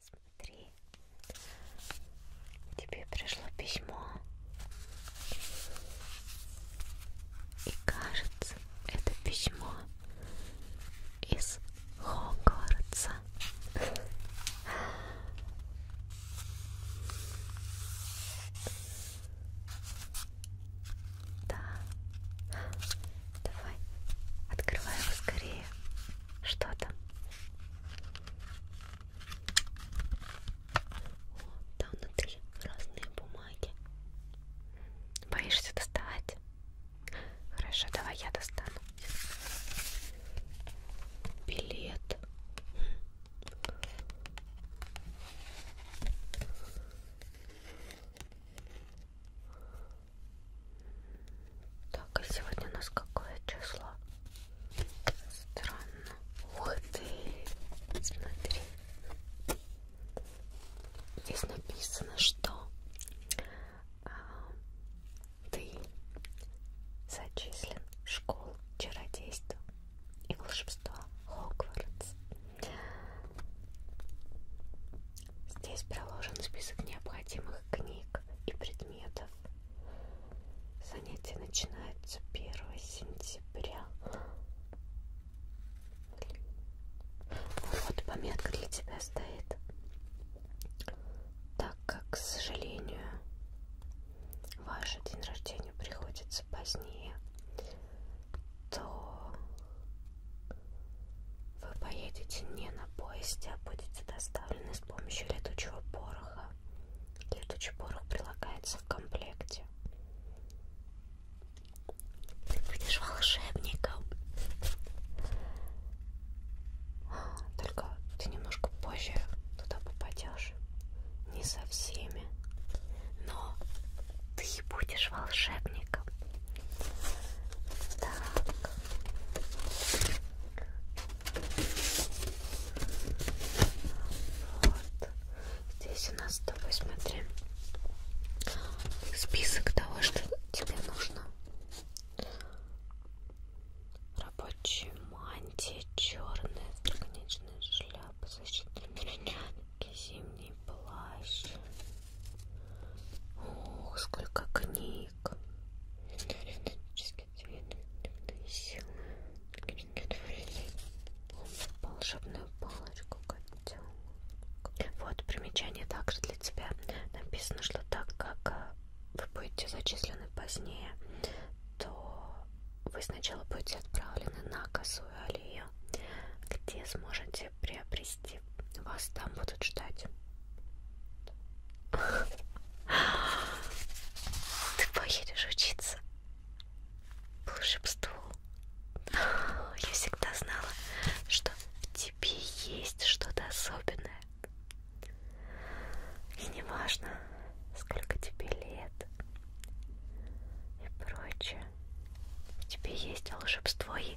Смотри, тебе пришло письмо, и кажется, это письмо из Хогвартса. Да, давай, открывай его скорее что-то. Там внутри разные бумаги. Боишься доставать? Хорошо, давай я достану. Билет. Так, а сегодня у нас какое число? Странно. Ух ты! Смотри. Здесь написано, что а, ты зачислен в школу чародейства и волшебства Хогвартс. Здесь проложен список необходимых книг и предметов. Занятие начинается 1 сентября. Вот пометка для тебя стоит. Так как, к сожалению, ваш день рождения приходится позднее, то вы поедете не на поезде, а будете доставлены с помощью летучего пороха. Летучий порох прилагается в комплекте. Ты будешь волшебником. А, только ты немножко позже туда попадешь. Не со всеми. Но ты будешь волшебником. Так. Вот. Здесь у нас с тобой, смотри, список того, что тебе нужно. Рабочие мантии, черная строконечная шляпа, защитные перчатки, зимний плащ. Ох, сколько книг. Ник. Фантастический цвет, темные силы, удовлетворение. Волшебную палочку котенок. Вот примечание также для тебя. Написано, что так как э, вы будете зачислены позднее, то вы сначала будете отправлены на косую аллею, где сможете приобрести Девочки, вас там будут ждать. Ты поедешь учиться. Волшебству. Я всегда знала, что в тебе есть что-то особенное. И не важно, сколько тебе лет и прочее. В тебе есть волшебство и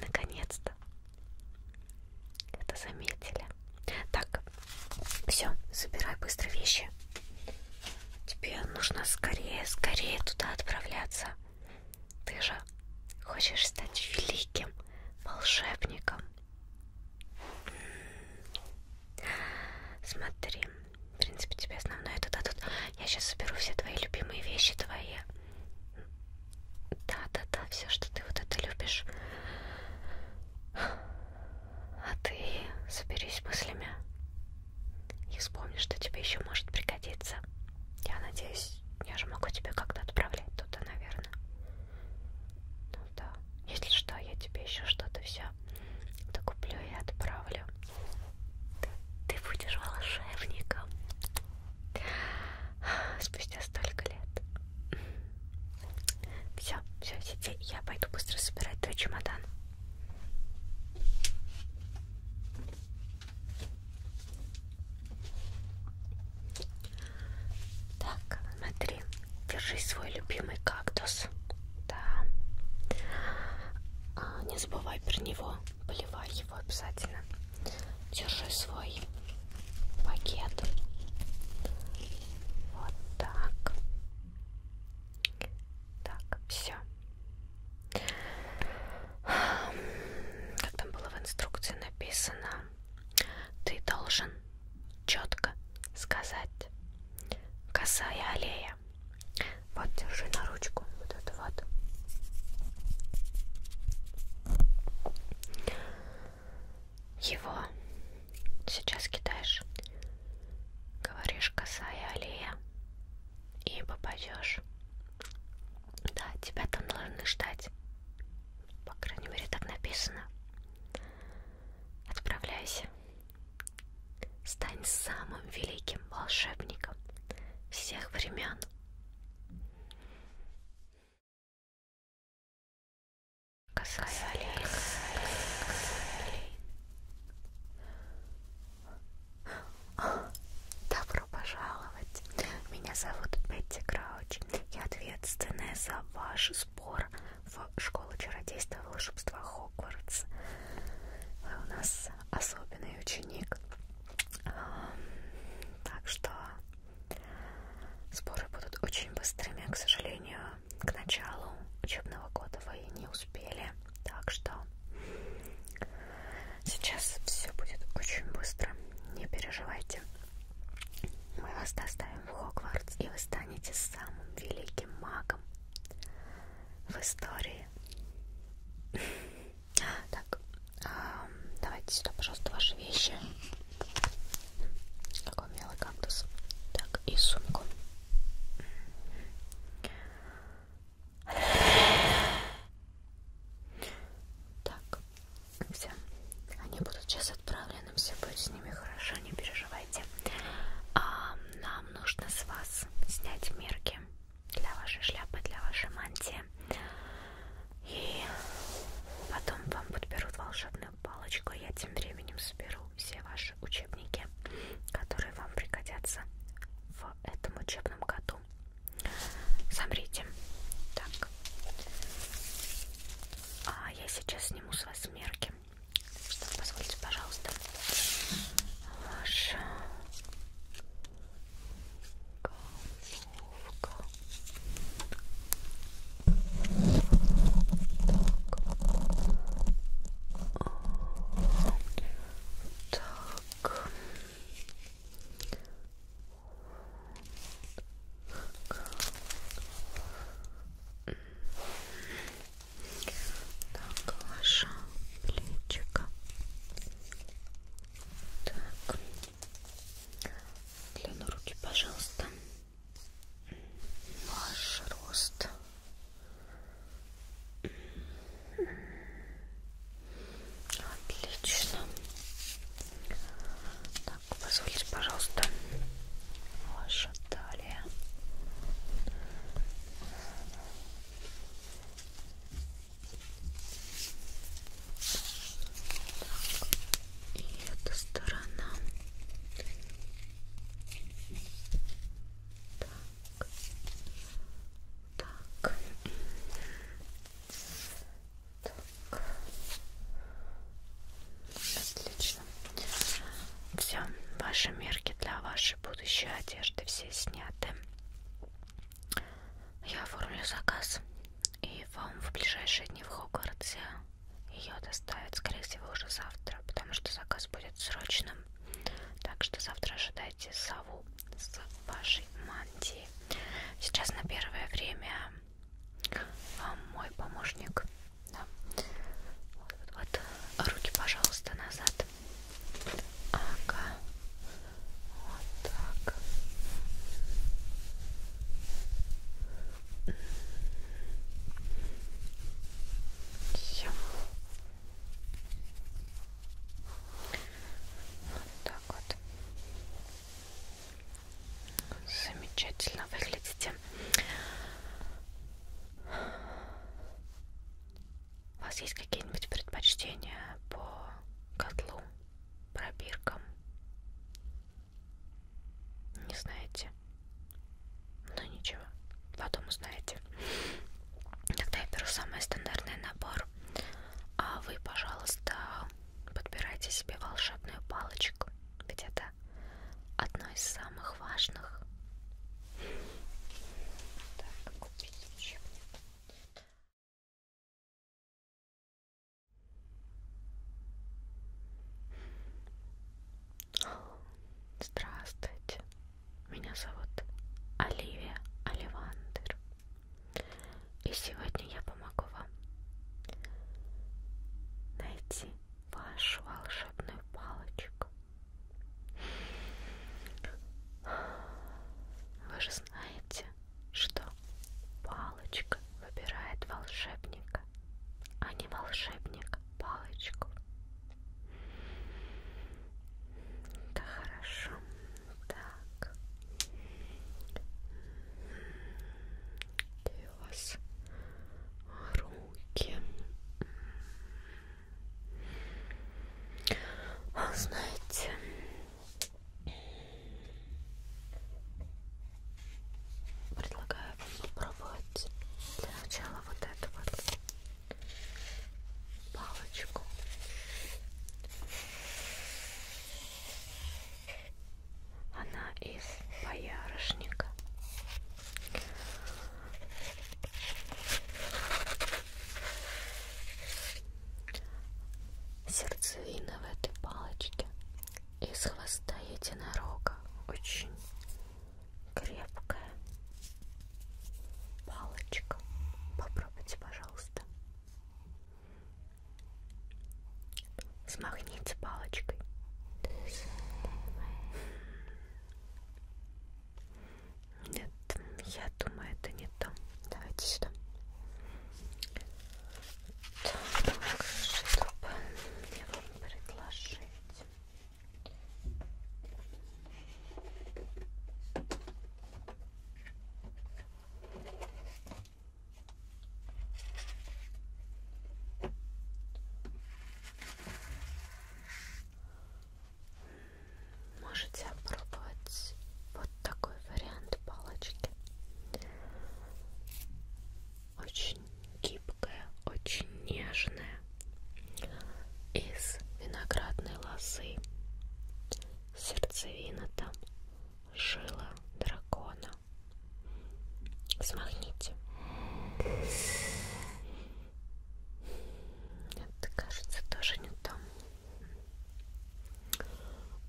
наконец-то это заметили. Так, все, собирай быстро вещи. Тебе нужно скорее, скорее туда отправляться. Ты же хочешь стать великим волшебником. Смотри, в принципе, тебе основное это дадут. Я сейчас соберу все твои любимые вещи, твои да, да, да, все, что ты вот это любишь. А ты соберись мыслями и вспомни, что тебе еще может пригодиться. Я надеюсь, я же могу тебя как-то отправлять туда, наверное. Ну да. Если что, я тебе еще что-то все докуплю и отправлю. Ты, ты будешь волшебником спустя столько лет. Все, все, сиди, я пойду быстро собирать твой чемодан. Так, смотри, держи свой любимый кактус. Да. А, не забывай про него, поливай его обязательно держи свой пакет. Вот так. Так, все. Как там было в инструкции написано, ты должен четко сказать косая аллея. Вот, держи на ручку вот это вот его сейчас кидаешь, говоришь косая аллея и попадешь. Да, тебя там должны ждать. По крайней мере, так написано. Отправляйся. Стань самым великим волшебником всех времен. Косая Алина. Добро пожаловать. Меня зовут Бетти Крауч. Я ответственная за ваш сбор в школу чародейства и волшебства Хогвартс. Вы у нас особенный ученик. Так что Споры будут очень быстрыми, к сожалению, к началу учебного года вы не успели, так что сейчас все будет очень быстро, не переживайте. Мы вас доставим в Хогвартс, и вы станете самым великим магом в истории. Так, давайте сюда, пожалуйста, ваши вещи. Какой милый кактус. Так, и сумку. Так, все. Они будут сейчас отправлены, все будет с ними хорошо, не переживайте. А, нам нужно с вас снять мерки для вашей шляпы, для вашей мантии. И потом вам подберут волшебную палочку. Я тем временем соберу все ваши учебники, которые вам пригодятся в этом учебном году. Смотрите. Так. А я сейчас сниму с вас мерки. Что, позвольте, пожалуйста. Ваша Головка. Так. Так, ваша плечика. Так. Длину руки, пожалуйста. Ваш рост. Отлично. Так, позвольте, пожалуйста, ваша талия. Так. И эта сторона. Так. Так. Так. Отлично. Все, ваши мерки для вашей будущей одежды все сняты. Я оформлю заказ, и вам в ближайшие дни в Хогвартсе ее доставят, скорее всего, уже завтра, потому что заказ будет срочным. Так что завтра ожидайте сову с вашей мантией. Сейчас на первое время вам мой помощник. Да. Вот, вот, вот. Руки, пожалуйста, назад. Ага. Вот так. Все. Вот так вот. Замечательно выглядите. У вас есть какие-нибудь предпочтения по котлу? пробиркам. Не знаете? Ну ничего, потом узнаете. Тогда я беру самый стандартный набор. А вы, пожалуйста, подбирайте себе волшебную палочку. Ведь это одно из самых важных. Так, купить учебник. Здравствуйте, меня зовут Оливия Оливандер, и сегодня я помогу вам найти вашу волшебную палочку. Вы же знаете, что палочка выбирает волшебника, а не волшебник палочку. Да хорошо. Так. Где у вас руки? Знаете, Предлагаю вам попробовать для начала вот эту вот палочку. Она из боярышника сердцевина в этой палочке из хвоста единорога очень крепкая палочка попробуйте пожалуйста смахните палочкой нет я думаю это не то давайте сюда так, чтобы мне вам предложить. Можете опробовать вот вот такой вариант палочки. Очень гибкая, очень нежная. Из виноградной лозы. Сердцевина там. Жила дракона. Смахните. Это кажется тоже не там.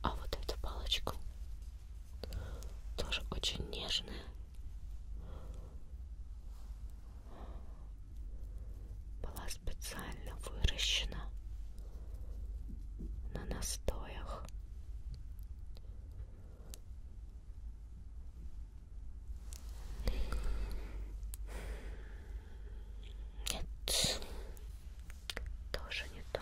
А вот эту палочку тоже очень нежная. Была специально выращена на настоях. Нет, тоже не то.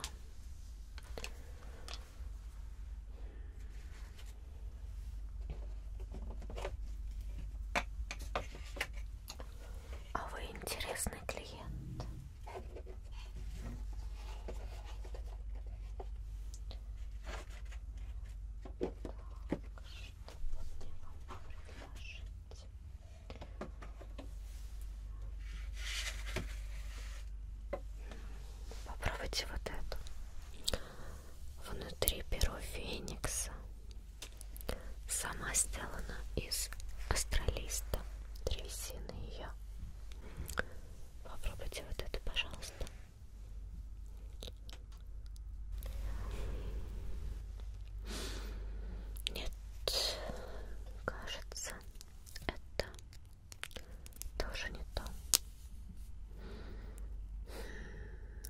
А вы интересный клиент. Так, что бы мне вам предложить? Попробуйте вот эту. Внутри перо феникса. Сама сделана из астролиста. Древесины ее. Попробуйте вот эту, пожалуйста. Нет, кажется, это тоже не то.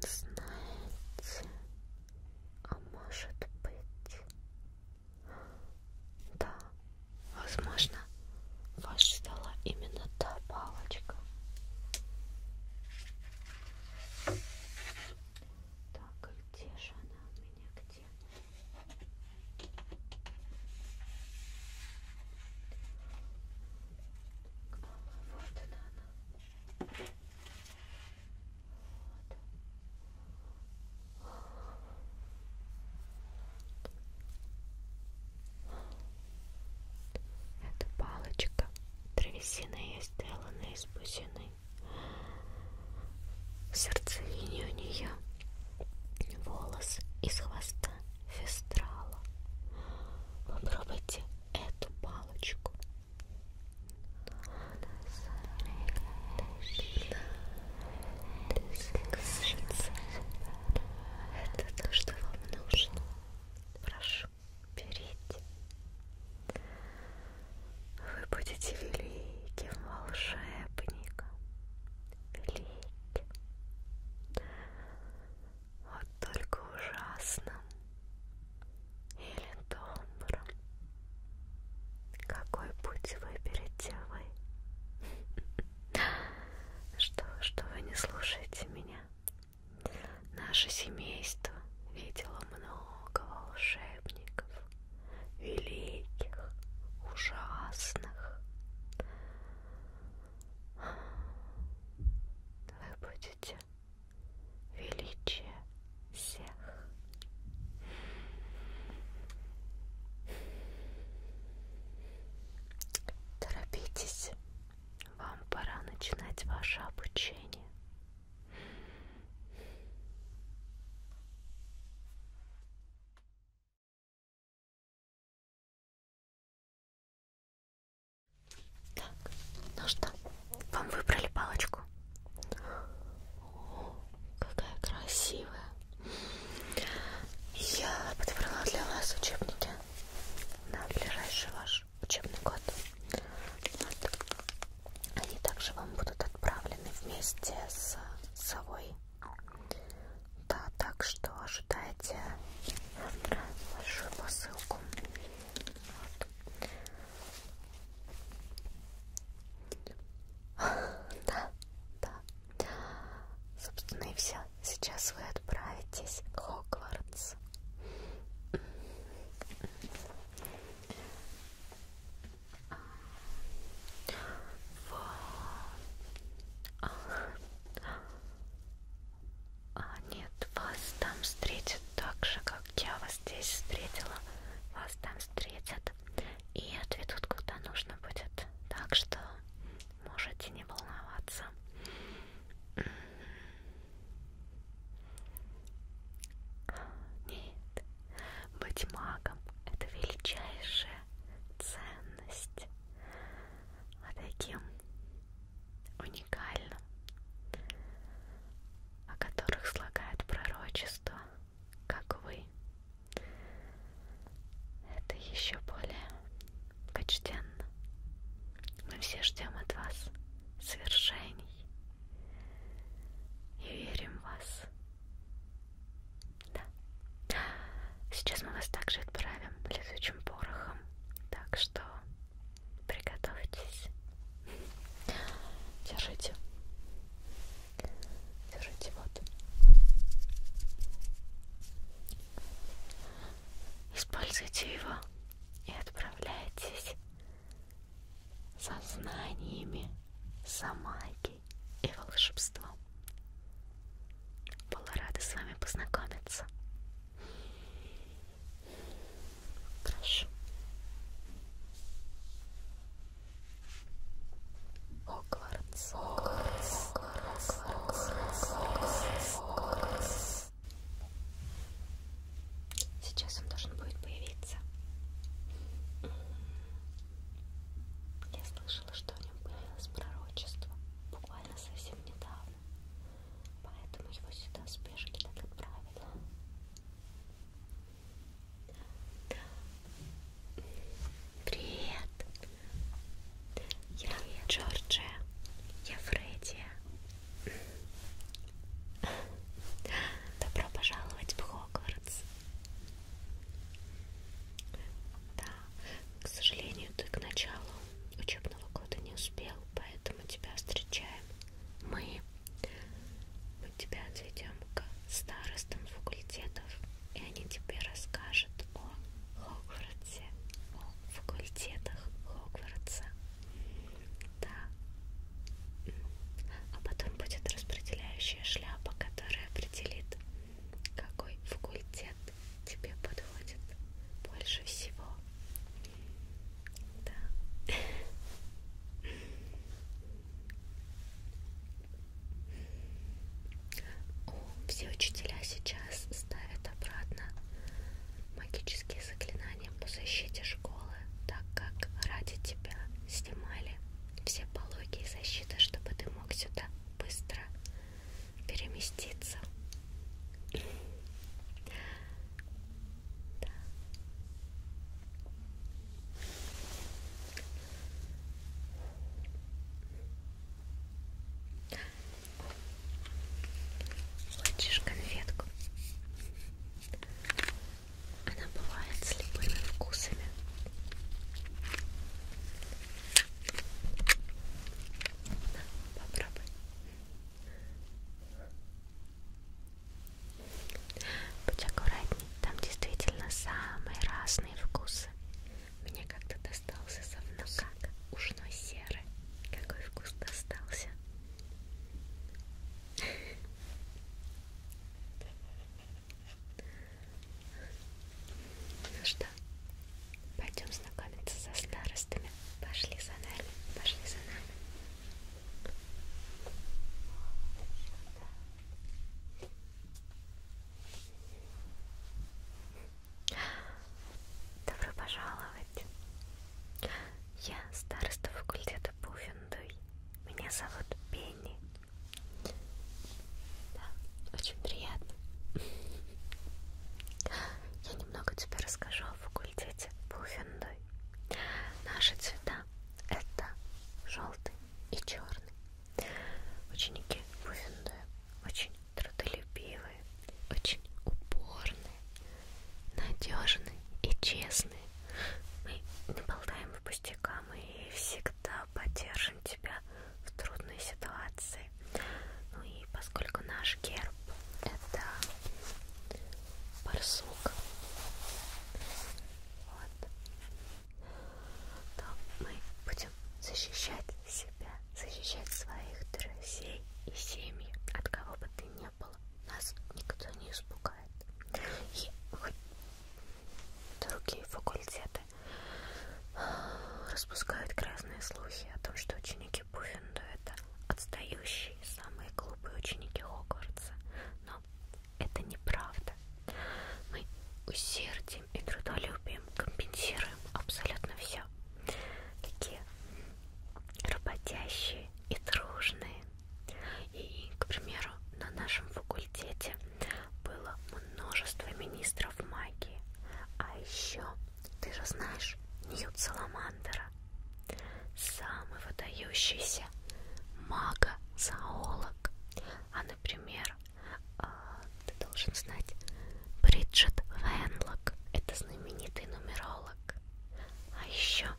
Знаете, а может быть, да, возможно, ваша стала именно та палочка. Так, где же она у меня? Это палочка древесина, сделана из бусины самой сердцевине у нее волос из хвоста фестрала. Попробуйте эту палочку. Кажется, это то, что вам нужно. Прошу, берите вы будете великим волшебником, великим, вот только ужасным или добрым. Какой путь выберете вы? Что, что вы не слушаете меня? Наше семейство видело много волшебников, великих, ужасных. Вы будете величие всех. Торопитесь, вам пора начинать ваше обучение. Так, ну что, вам выбрали палочку? О, какая красивая! Я подобрала для вас учебники на ближайший ваш учебный год. Вот. Они также вам будут отправлены вместе с совой. Да, так что ожидайте большую посылку. Вот. Да, да. Собственно и все. Сейчас вы отправитесь к Хогвартс в... А, нет, вас там встретят так же, как я вас здесь встретила. Вас там встретят и отведут куда нужно будет. Так что можете не волноваться. Нет, быть магом — это величайшая ценность. А таким уникальным, о которых слагают пророчества, как вы, это еще более почтенно. Мы все ждем от вас свершений и верим в вас. Да. Сейчас мы вас также отправим летучим порохом, так что приготовьтесь. Держите. Держите вот. Используйте его и отправляйтесь со знаниями самаги магией и волшебством. Была рада с вами познакомиться. Прошу. Хогвартс, Хогвартс, Хогвартс, Хогвартс, Хогвартс. Сейчас он должен будет появиться. Я слышала, что о нем появилось пророчество буквально совсем недавно, поэтому его сюда в спешке так отправили. Привет! Я Привет. Джорджия, я Фредди. Добро пожаловать в Хогвартс. Да, к сожалению, ты к началу учебного года не успел, поэтому тебя встречаем мы. Мы тебя отведем к старостам факультетов, и они тебе расскажут о Хогвартсе, о факультетах Хогвартса. Да, а потом будет распределяющая шляпа, которая определит, какой факультет тебе подходит больше всего. Да. О, все учителя сейчас ставят обратно магические заклинания по защите школы, так как ради тебя снимали все пологи и защита, чтобы ты мог сюда быстро переместиться. Да. Хочешь конфетку? Она бывает с любыми вкусами. На, попробуй. Будь аккуратней, там действительно самые разные вкусы. Мне как-то достался совнука ушной серы. Какой вкус достался? Ну что, пойдем знакомиться со старостами. Пошли за нами, пошли за нами. Добро пожаловать. Я староста факультета Пуффендуй. Меня зовут Пенни. Да, очень приятно. Я немного тебе расскажу о факультете Пуффендой. Наши цвета это желтый и черный. Ученики Пуффендоя очень трудолюбивые, очень упорные, надежные и честные. Мы не болтаем по пустякам и всегда поддержим тебя в трудной ситуации. Ну и поскольку наш герб это барсук, вот, то мы будем защищать себя, защищать своих друзей и семьи, от кого бы ты ни был, нас никто не испугает. И хоть другие факультеты распускают грязные слухи о том, что ученики Пуффинда это отстающие, самые глупые ученики Хогвартса. Но это неправда. Мы усердием и трудолюбием компенсируем абсолютно все. Такие работящие и дружные и, к примеру, на нашем факультете было множество министров магии. А еще, ты же знаешь, Ньют Саламандера, самый выдающийся мага-зоолог. А, например, а, ты должен знать Бриджит Венлок, это знаменитый нумеролог. А еще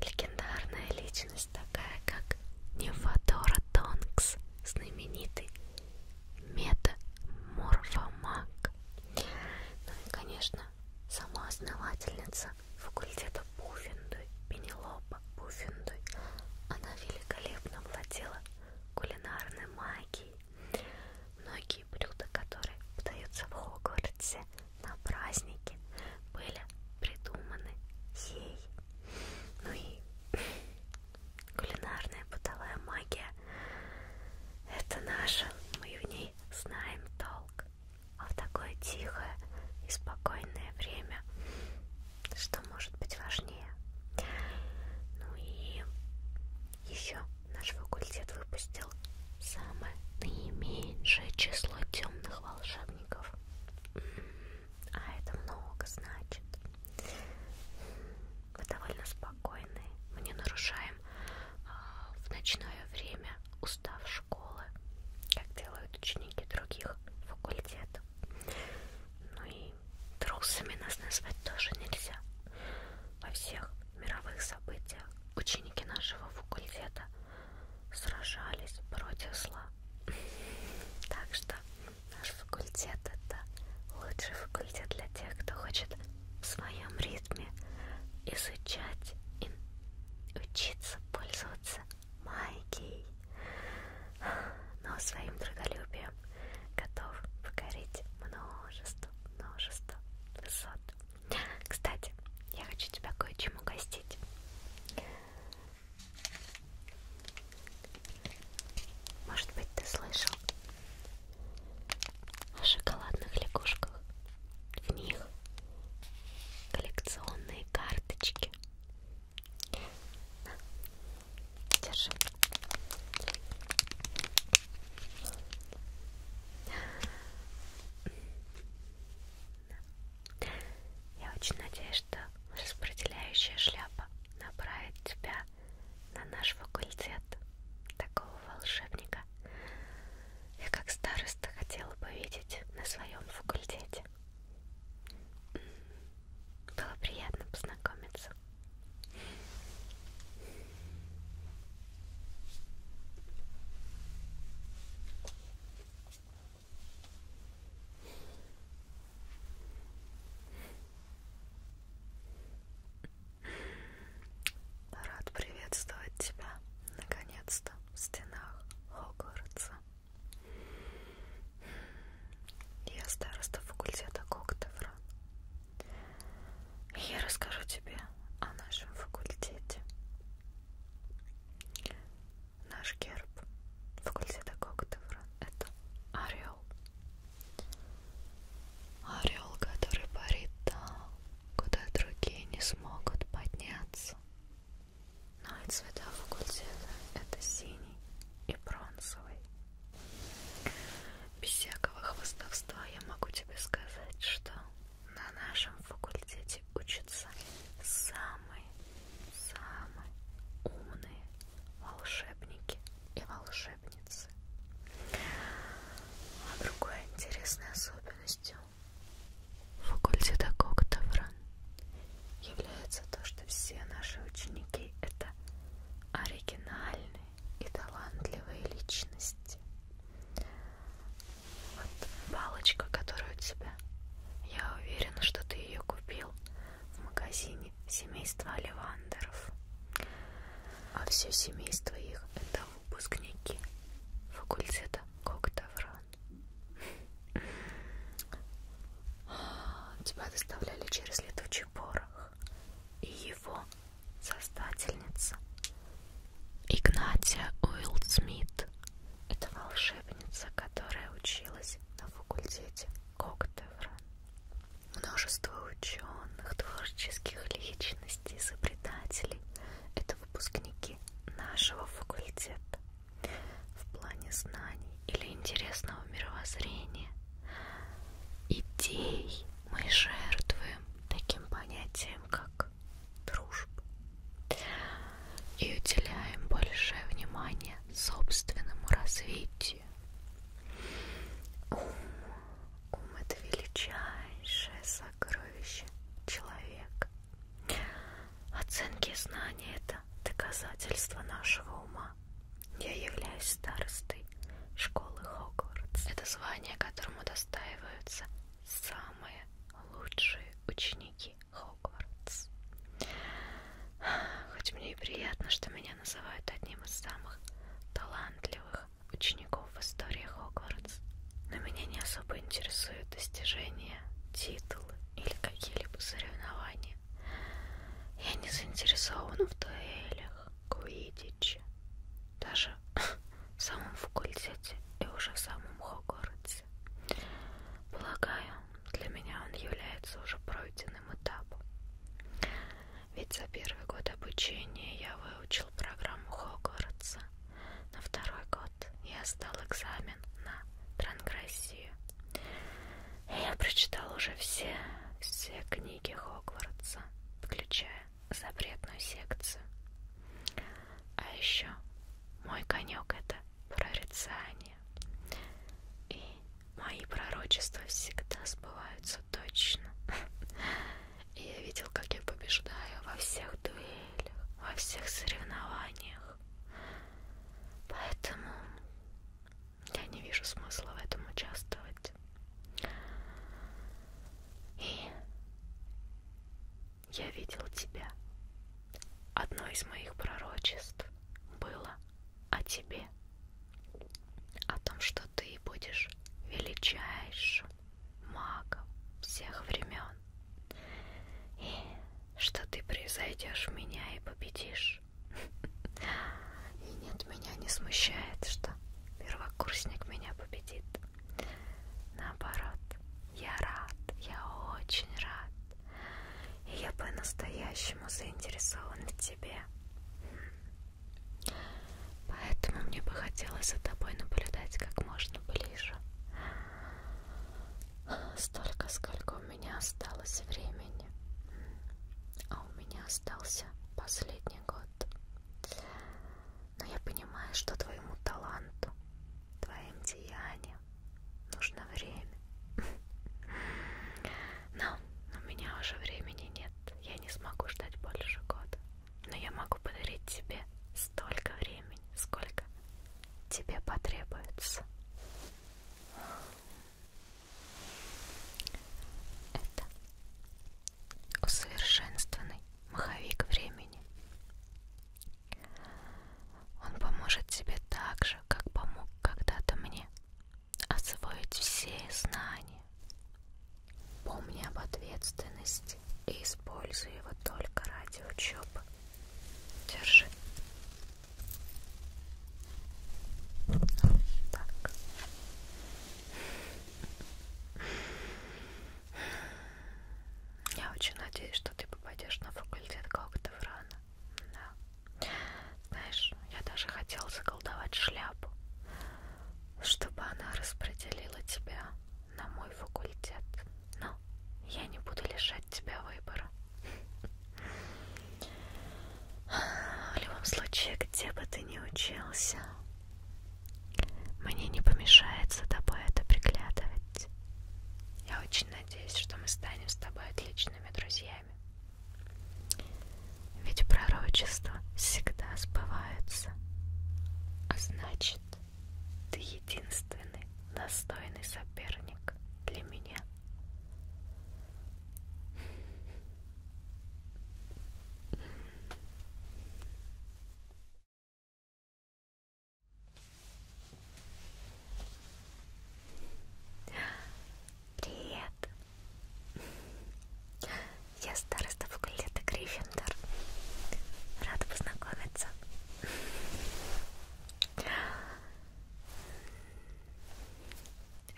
Легендарная личность такая, как Невадора Тонкс, знаменитый метаморфомаг. Ну и, конечно, сама основательница факультета Пуффендуй, Пенелопа Пуффендуй, она великолепно владела кулинарной магией. Многие блюда, которые подаются в Хогвартсе, на празднике были придуманы ей. Ну и кулинарная бытовая магия – это наша, мы в ней знаем толк. А в такое тихое и спокойное время, что может быть важнее. Ну и еще наш факультет выпустил самое наименьшее число темных волшебных родственников. А это много значит. Мы довольно спокойны. Мы не нарушаем а, в ночное время устав школы, как делают ученики других факультетов. Ну и трусами нас назвать тоже нельзя. Во всех мировых событиях ученики нашего факультета сражались против зла. Так что наш факультет это лучший факультет для тех, кто хочет в своем ритме изучать и учиться пользоваться магией, но своим трудолюбием готов покорить множество, множество высот. Кстати, я хочу тебя кое-чему гостить. Может быть, ты слышал о шоколадных лягушках? В них коллекционные карточки. Держи. Да. Я очень надеюсь, что распределяющая шляпа направит тебя на наш факультет такого волшебника. Я как староста хотела бы видеть на своем факультете. Было приятно познакомиться. Рад приветствовать тебя, наконец-то, в стенах Хогвартса. Я староста факультета Коктевра. Я расскажу тебе о нашем факультете наш герб факультета Когтевра это орел. Орел, который парит там, куда другие не смогут подняться. Ну и цвета факультета это синий и бронзовый. Без всякого хвостовства я могу тебе сказать, что на нашем факультете учатся самые самые умные волшебники и волшебницы. А другой интересной особенностью факультета Коктавран является то, что все наши ученики это оригинальные и талантливые личности. Вот палочка, которая у тебя. Я уверена, что ты ее купил в магазине семейства Оливандеров. А все семейство их это выпускники факультета Коктавран. Тебя доставляли через летучий порох. И его создательница Игнатия Уилл Смит это волшебница, которая училась на факультете Коктевра. Множество ученых, творческих личностей, изобретателей — это выпускники нашего факультета. В плане знаний или интересного мировоззрения, идей мы жертвуем таким понятием, как дружб и уделяем большее внимание собственному развитию. Ум, ум это величайшее сокровище человека. Оценки и знания это доказательство нашего ума. Я являюсь старостой школы Хогвартс. Это звание, которому достаиваются самые лучшие ученики маленький Хогвартс. Хоть мне и приятно, что меня называют одним из самых талантливых учеников в истории Хогвартс, но меня не особо интересуют достижения, титулы или какие-либо соревнования. Я не заинтересована в дуэлях, куидиче, даже в самом факультете и уже в самом Хогвартсе процессе. Полагаю, для меня он является уже пройденным этапом. Ведь за первый год обучения я выучил программу Хогвартса. На второй год я сдал экзамен на трансгрессию. И я прочитал уже все, все книги Хогвартса, включая запретную секцию. А еще мой конек это прорицания. И мои пророчества всегда сбываются точно. И я видел, как я побеждаю во всех дуэлях, во всех соревнованиях. Поэтому я не вижу смысла в этом участвовать. И я видел тебя. Одно из моих пророчеств было о тебе, о том, что ты будешь величайшим магом всех времен, и что ты превзойдешь меня и победишь. И нет, меня не смущает, что первокурсник меня победит. Наоборот, я рад, я очень рад. И я по-настоящему заинтересована в тебе. Поэтому мне бы хотелось за тобой наблюдать как можно ближе. Столько, сколько у меня осталось времени. А у меня остался последний год. Но я понимаю, что твоему таланту твоим деяниям нужно время. Но у меня уже времени нет. Я не смогу ждать больше года. Но я могу подарить тебе столько времени, сколько тебе потребуется. Это усовершенствованный маховик времени. Он поможет тебе так же, как помог когда-то мне, освоить все знания. Помни об ответственности и используй его только ради учебы. Держи. Вот так. Я очень надеюсь, что ты попадешь на факультет Когтеврана. Да. Знаешь, я даже хотела заколдовать шляпу, чтобы она распределила тебя на мой факультет. Но я не буду лишать тебя выбора. В любом случае, где бы ты ни учился, мне не помешает за тобой это приглядывать. Я очень надеюсь, что мы станем с тобой отличными друзьями. Ведь пророчества всегда сбываются. А значит, ты единственный достойный соперник для меня. Привет. Я староста факультета Гриффиндор. Рада познакомиться.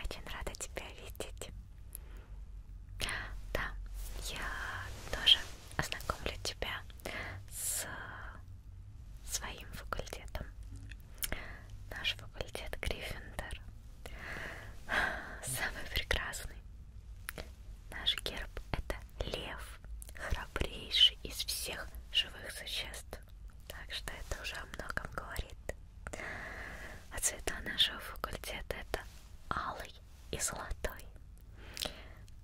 Очень рада тебя видеть. Да, я тоже ознакомлю тебя с своим факультетом. Наш факультет Гриффиндор самый прекрасный. Наш герб это лев, храбрейший из всех живых существ. Так что это уже о многом говорит. А цвета нашего факультета это алый и золотой.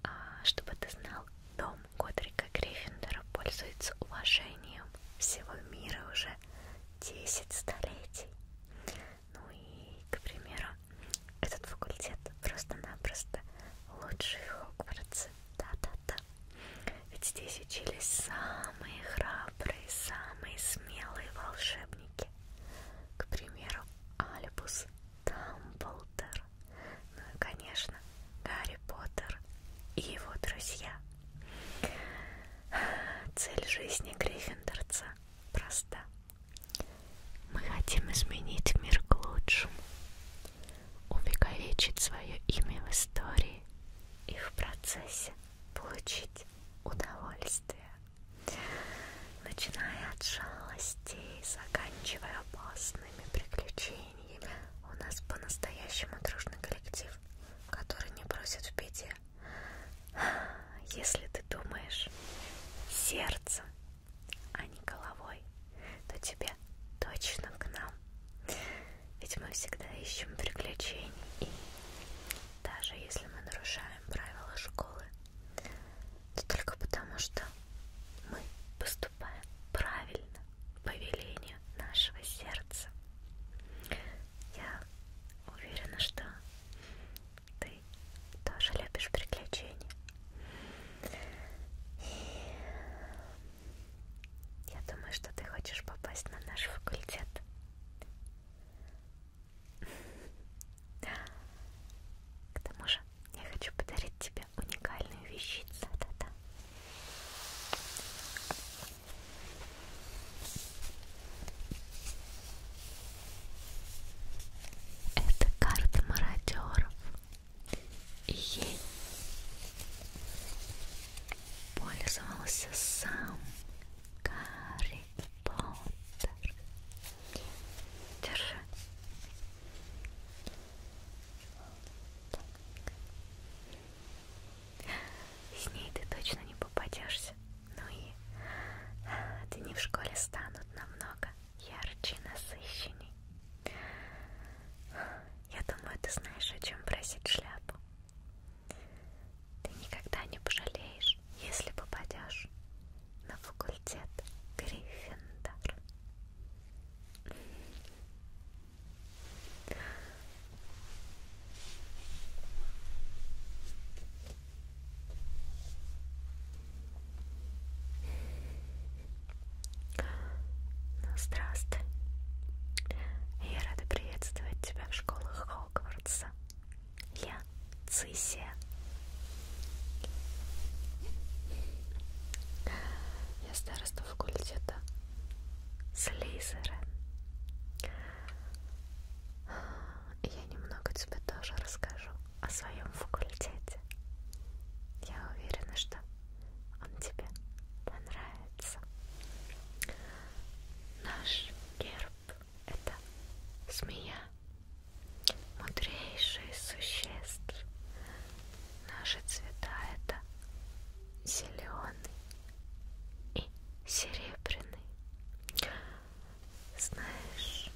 А, чтобы ты знал, дом Годрика Гриффиндора пользуется уважением всего мира уже 10 столетий. Ну и, к примеру, этот факультет просто-напросто лучший в Хогвартсе. Да-да-да. Ведь здесь учились самые храбрые, самые смелые волшебники. К примеру, Альбус Дамблдор. Поттер. Ну и, конечно, Гарри Поттер и его друзья. Цель жизни Гриффиндорца проста. Мы хотим изменить мир к лучшему, увековечить свое имя в истории и в процессе получить удовольствие, начиная от жалости и заканчивая классными приключениями. У нас по-настоящему дружный коллектив, который не бросит в беде. Если ты думаешь сердцем, а не головой, то тебя точно к нам. Ведь мы всегда ищем приключений, и даже если мы нарушаем правила школы, но только потому, что мы поступаем правильно по велению нашего сердца. Я уверена, что ты тоже любишь приключения. И я думаю, что ты хочешь попасть на наш факультет. К тому же я хочу подарить тебе уникальную вещицу. Да-да. Это карта мародеров. И ей пользовался сам Гарри Поттер. Держи. С ней ты точно не попадешься. Ну и а, дни в школе станут намного ярче и насыщенней. Я думаю, ты знаешь, о чем просить шляпу. Ты никогда не пожалеешь, если попадешь на факультет Гриффиндор. Ну, здравствуй. Я рада приветствовать тебя в школах Хогвартса. Я Цисия. Я староста факультета Слизера. Я немного тебе тоже расскажу о своем факультете. Я уверена, что он тебе понравится. Наш герб это змея мудрейшие существ. Наши цвета это зеленый и серебряный. Знаешь,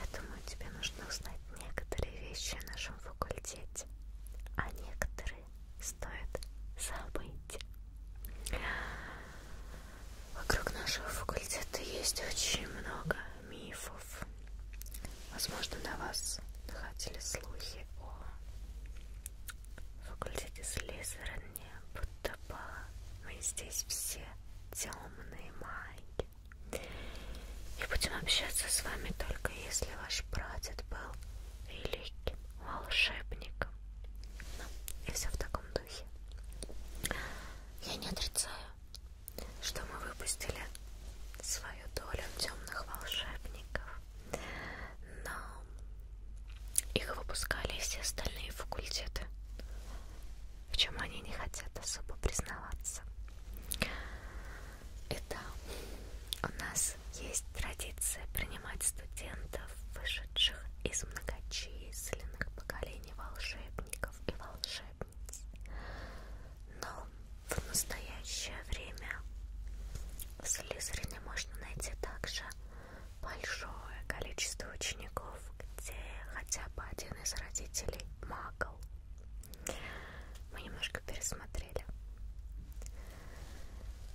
я думаю, тебе нужно узнать некоторые вещи о нашем факультете, а некоторые стоит забыть. Вокруг нашего факультета есть очень много мифов. Возможно, на вас находили слухи о факультете Слизерни, будто бы мы здесь все темные маги. И будем общаться с вами только если ваш прадед был великим волшебником. Ну, и все в таком духе. Я не отрицаю что мы выпустили свою долю темных волшебников, но их выпускали все остальные факультеты, в чем они не хотят особо признаваться. Это у нас есть традиция принимать студентов, вышедших из многочисленных поколений волшебников и волшебников память. Но в настоящее время в Слизерине можно найти также большое количество учеников, где хотя бы один из родителей магл. Мы немножко пересмотрели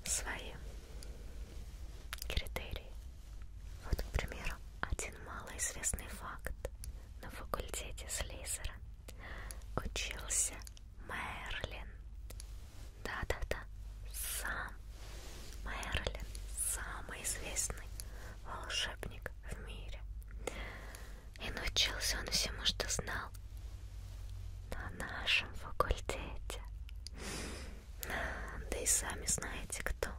свои критерии. Вот, к примеру, один малоизвестный факт. На факультете Слизера учился Мерлин. Да-да-да, сам Мерлин, самый известный волшебник в мире. И научился он всему, что знал на нашем факультете. Да и сами знаете, кто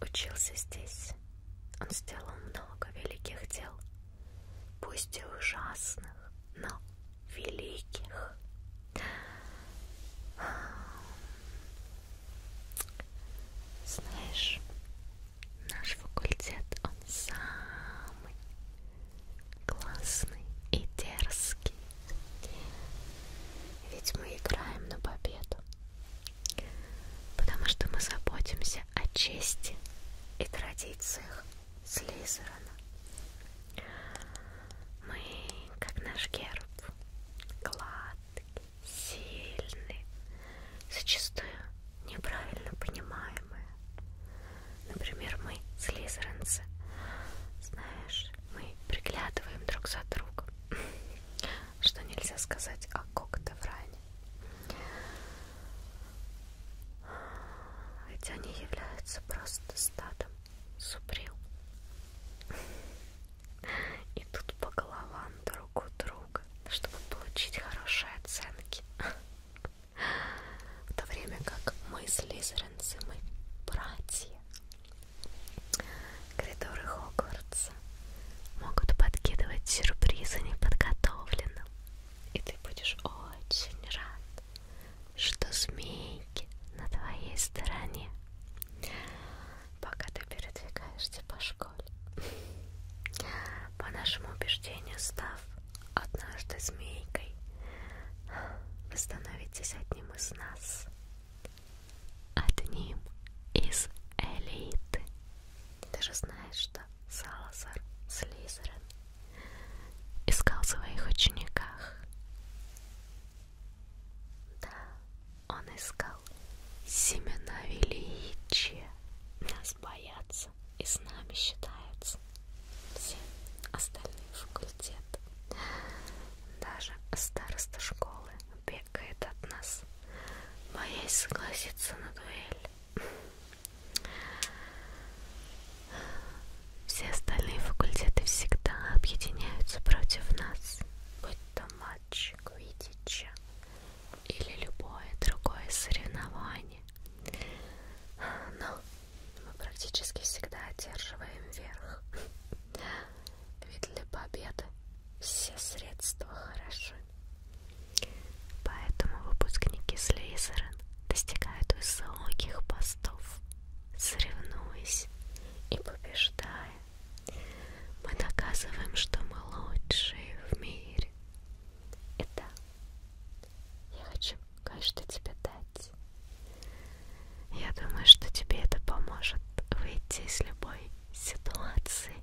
учился здесь. Он сделал много великих дел, пусть и ужасных, но великих. Знаешь, наш факультет, он самый классный и дерзкий. Ведь мы играем на победу потому что мы заботимся о чести и традициях Слизерана. Мы, как наш герб, гладкий, сильный, зачастую неправильно понимаемые. Например, мы, слизеранцы, знаешь, мы приглядываем друг за другом, что нельзя сказать о Когтевране. Ведь они являются просто стадом суприл. И тут по головам друг у друга, чтобы получить хорошие оценки. В то время как мы с Лизеренцем мы братья. Коридоры Хогвартс могут подкидывать сюрпризы неподготовленным, и ты будешь очень рад, что змейки на твоей стороне, пока ты передвигаешься по школе. По нашему убеждению, став однажды змейкой, вы становитесь одним из нас, одним из элиты. Ты же знаешь, что Салазар Слизерин искал в своих учениках. Да, он искал семена величия. Нас боятся и с нами считаются все остальные факультеты. Даже староста школы бегает от нас боясь согласиться на дуэль. Все остальные факультеты всегда объединяются против нас, будь то матч квиддича или любое другое соревнование. Но мы практически всегда одерживаем верх. Ведь для победы все средства хороши. Поэтому выпускники Слейзерен достигают высоких постов, соревнуясь и побеждая. Мы доказываем, что мы лучшие в мире. И да, я хочу кое-что тебе дать. Я думаю, что тебе это поможет выйти из любой ситуации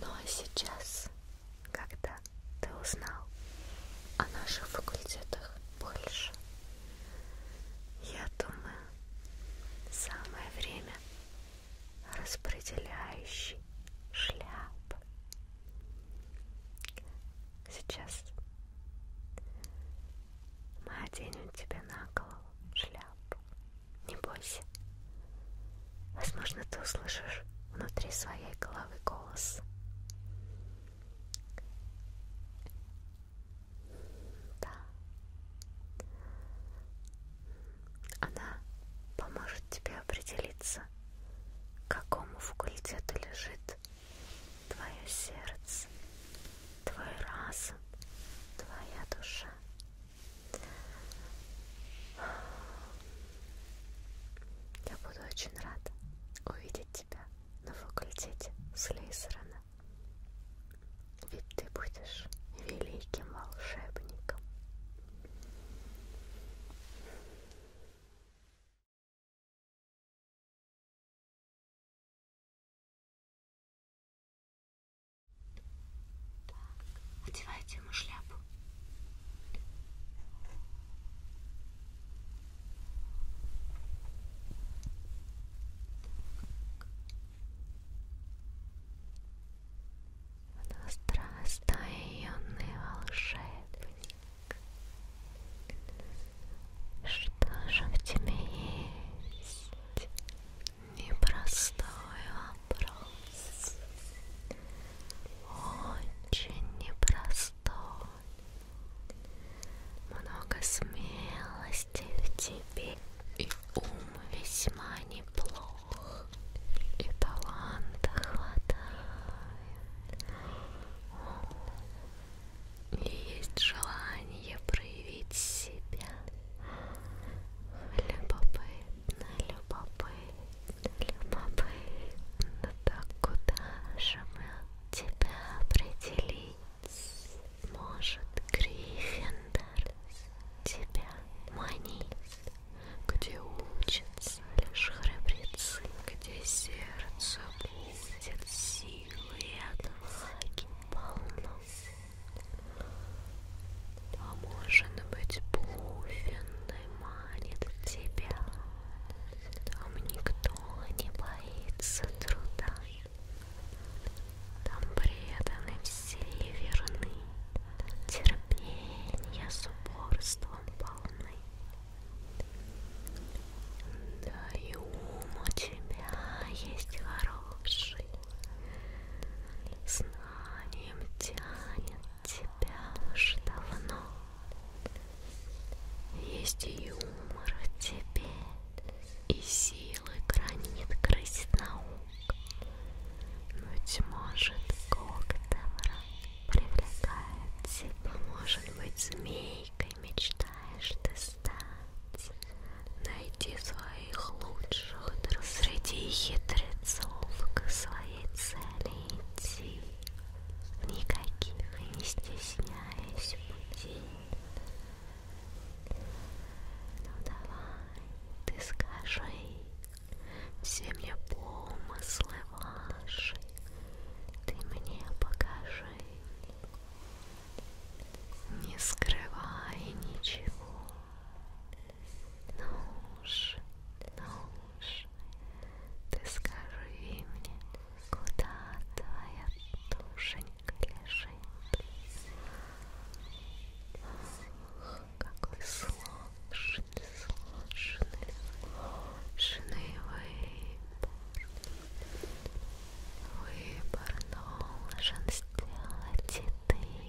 Ну а сейчас, когда ты узнал о наших факультетах больше, я думаю, самое время распределяющий шляп. Сейчас мы оденем тебе на голову шляпу. Не бойся. Возможно, ты услышишь внутри своей головы голос. Да. Она поможет тебе определиться, к какому факультету лежит твое сердце, твой разум, твоя душа. Я буду очень рада увидеть тебя на факультете Слейсерона. Ведь ты будешь великим волшебником. Так, одевайте ему шляпу. У нас растаённый волшебник. Что же в тебе есть? Непростой вопрос. Очень непростой. Много смелости в тебе. И ум весьма неплох. И таланта хватает. И есть желание проявить себя. Любопытно, любопытно, любопытно, так куда же мы тебя определить? Может, Гриффиндор тебя манить? Где учатся лишь храбрецы, где сердце будет силы и отваги полно? А может быть, Блуфинный манит тебя. Там никто не боится труда. Там преданы все и верны. Терпенья с упорством полны. Да и ум у тебя есть хороший. Знанием тянет тебя уж давно. Есть юмор в тебе, и силы гранит крысть наук. Быть может, кок добра привлекает тебя. Может быть, змейкой мечтаешь ты стать найти своих лучших друг среди хитрецов к своей цели идти. Никаких не стесняясь пути. Ну давай, ты скажи, все мне помыслы ваши, ты мне покажи. Не скрывай ничего, ну уж, ну уж, ты скажи мне, куда твоя душенька лежит? Ах, какой сложный, сложный, сложный выбор. Выбор должен сделать и ты.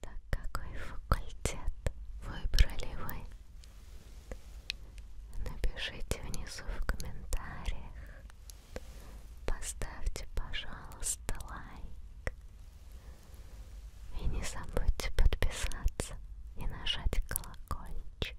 Так какой факультет выбрали вы? Напишите внизу в комментариях. Поставьте, пожалуйста, лайк. И не забудьте подписаться и нажать колокольчик.